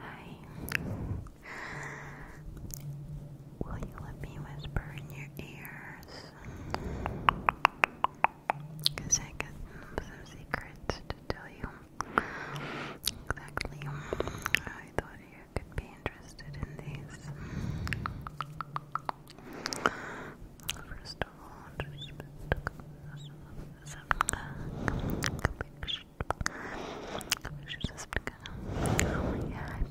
Hi. Will you let me whisper in your ears? Because I got some secrets to tell you. Exactly. I thought you could be interested in these. First of all, just. Some, some, some, Oh yeah.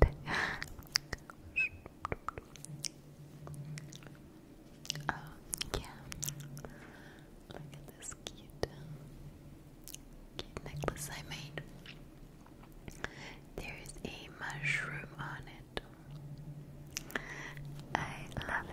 Look at this uh, cute, necklace I made. There is a mushroom on it. I love it.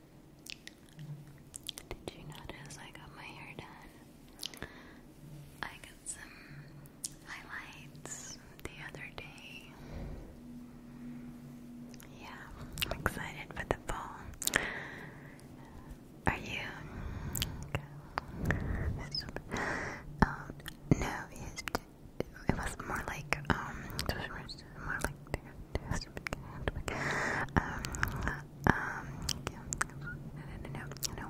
Did you notice I got my hair done? I got some highlights the other day. Yeah, I'm excited for the fall. Are you? Oh, no, it was more like um, just um, no, no, no, no, no.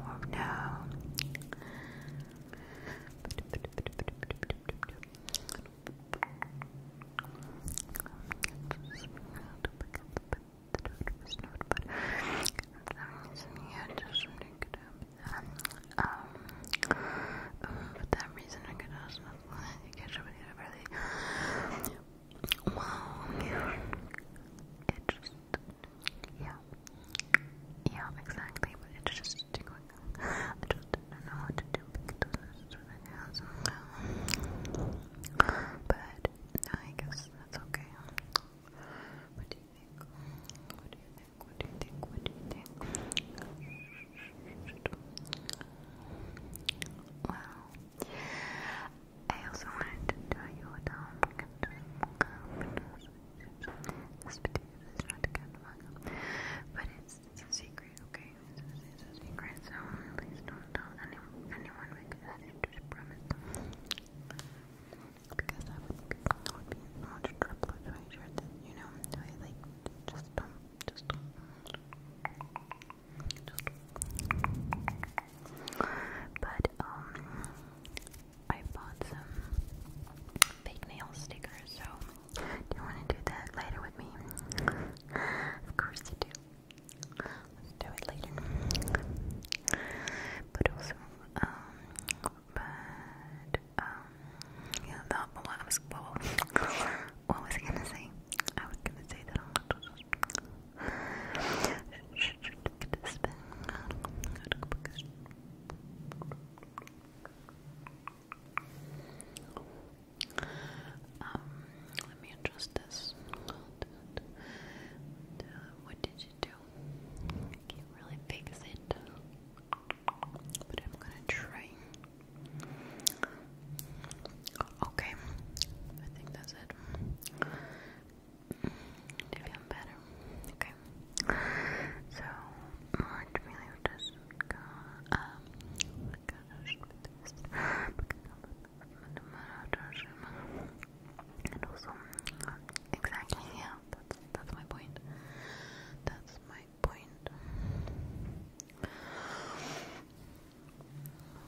for that reason, I could also not think I should really Wow. It just, yeah, yeah, exactly. But it's just I just didn't know what to do because this is ridiculous. But I guess that's okay. What do you think? What do you think? What do you think? What do you think? Wow. I also wanted to you what I'm going to This video is not kind of but it's, it's a secret, okay? It's a, secret, so please don't tell anyone, anyone because I just promise. Because I would I would be much trouble if I shared this, you know? I like, just don't, just don't. But um I bought some fake nail stickers, so do you wanna do that later with me? Of course you do. Let's do it later. But also, um but um yeah, that, well, was well, what was I gonna say? I was gonna say that I'm um, let me adjust this. What did you do? can't really fix it, but I'm gonna try. Okay, I think that's it. Do you feel better? Okay. So, let me just go. Um, and also, exactly, yeah, that's, that's my point. That's my point.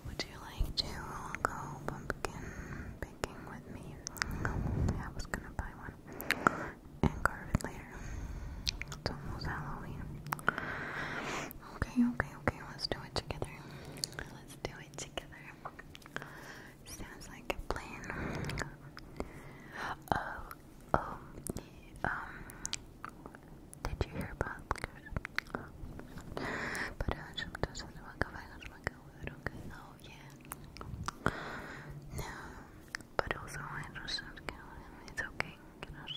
Would you like to go pumpkin picking with me? I was gonna buy one and carve it later. It's almost Halloween. Okay, okay, okay, let's do it together. Let's do it together. Sounds like a plan. Oh, oh um, did you hear about uh, Oh yeah. No. But also I just it's okay. Please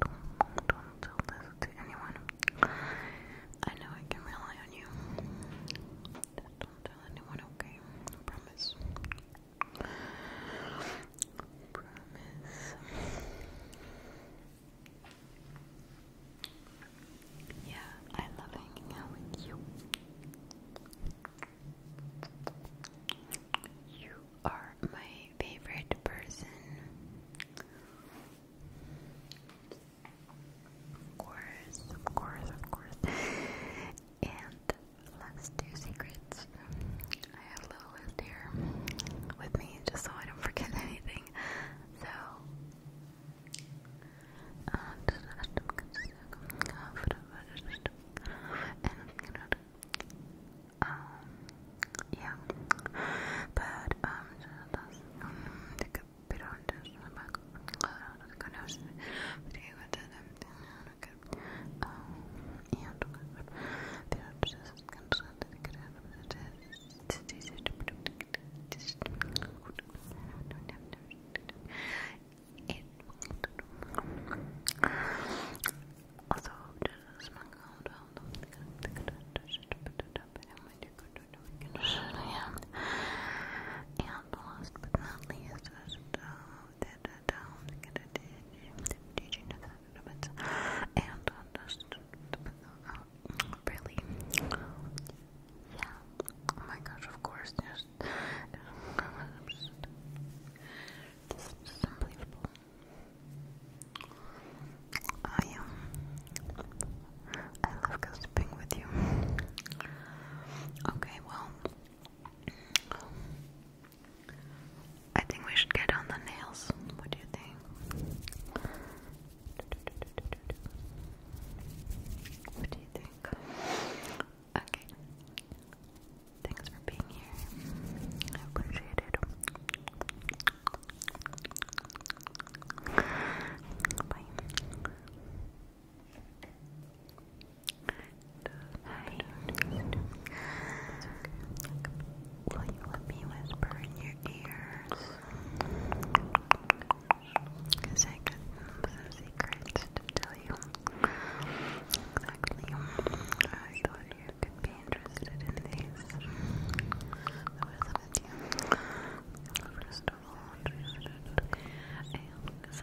don't, tell anyone. I know I can rely on you. don't tell anyone, okay? I promise. Promise. Yeah, I love hanging out with you. You are my favorite person. Of course, of course, of course. And Let's do secrets. I have a little list here with me just so I don't forget anything. So, um, yeah, but um, the capitol, the back, the connection, the okay. Um, oh the artist is concerned that it could have a test. It also, just my God, and last but not least, uh, and really, yeah. Oh my gosh! Of course, just this unbelievable. I am. I love gossiping with you. Okay, well, I think we should get on the nails. What do you think? What do you think? Okay. Thanks for being here. Will you let me whisper in your ears? Cause I got some secrets to tell you. I thought you could be interested in these. I was with you. First of all, I hope this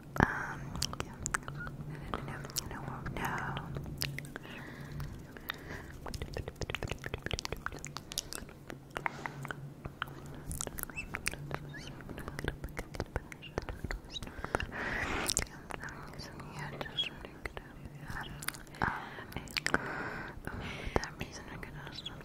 Um, no, no, no, no. no. Um, uh, for that reason, I could also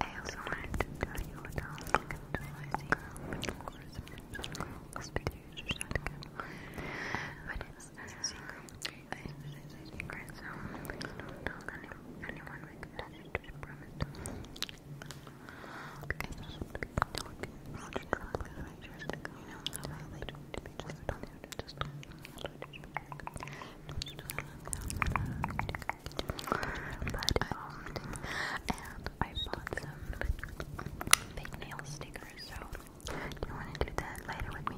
I also wanted to tell you what else I can do. I think, but of course, I'm not just going to speak to you just But it's a secret. a secret, so don't tell any, anyone because I just promised. Because people don't, not just but I And I bought some nail stickers, so you want to do that later with me?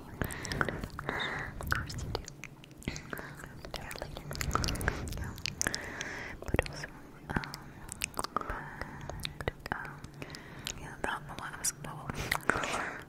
Of course you do. later. But also, um, but, um, yeah, that one was cool.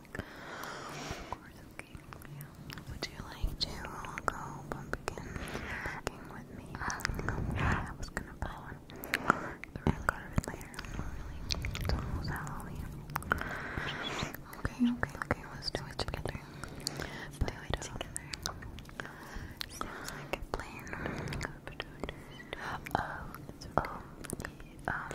okay. Would you like to go pumpkin packing with me? Um, I was gonna buy one. The red card of It's almost Halloween. Okay, okay, okay. Let's do it together. Let's do a plan. Oh, oh, um,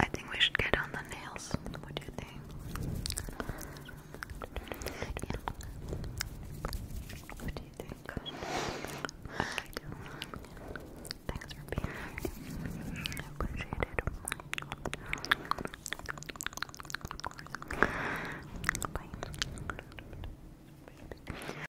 I think we should get on the nails. What do you think? What do you think? Thanks for being here. appreciate it.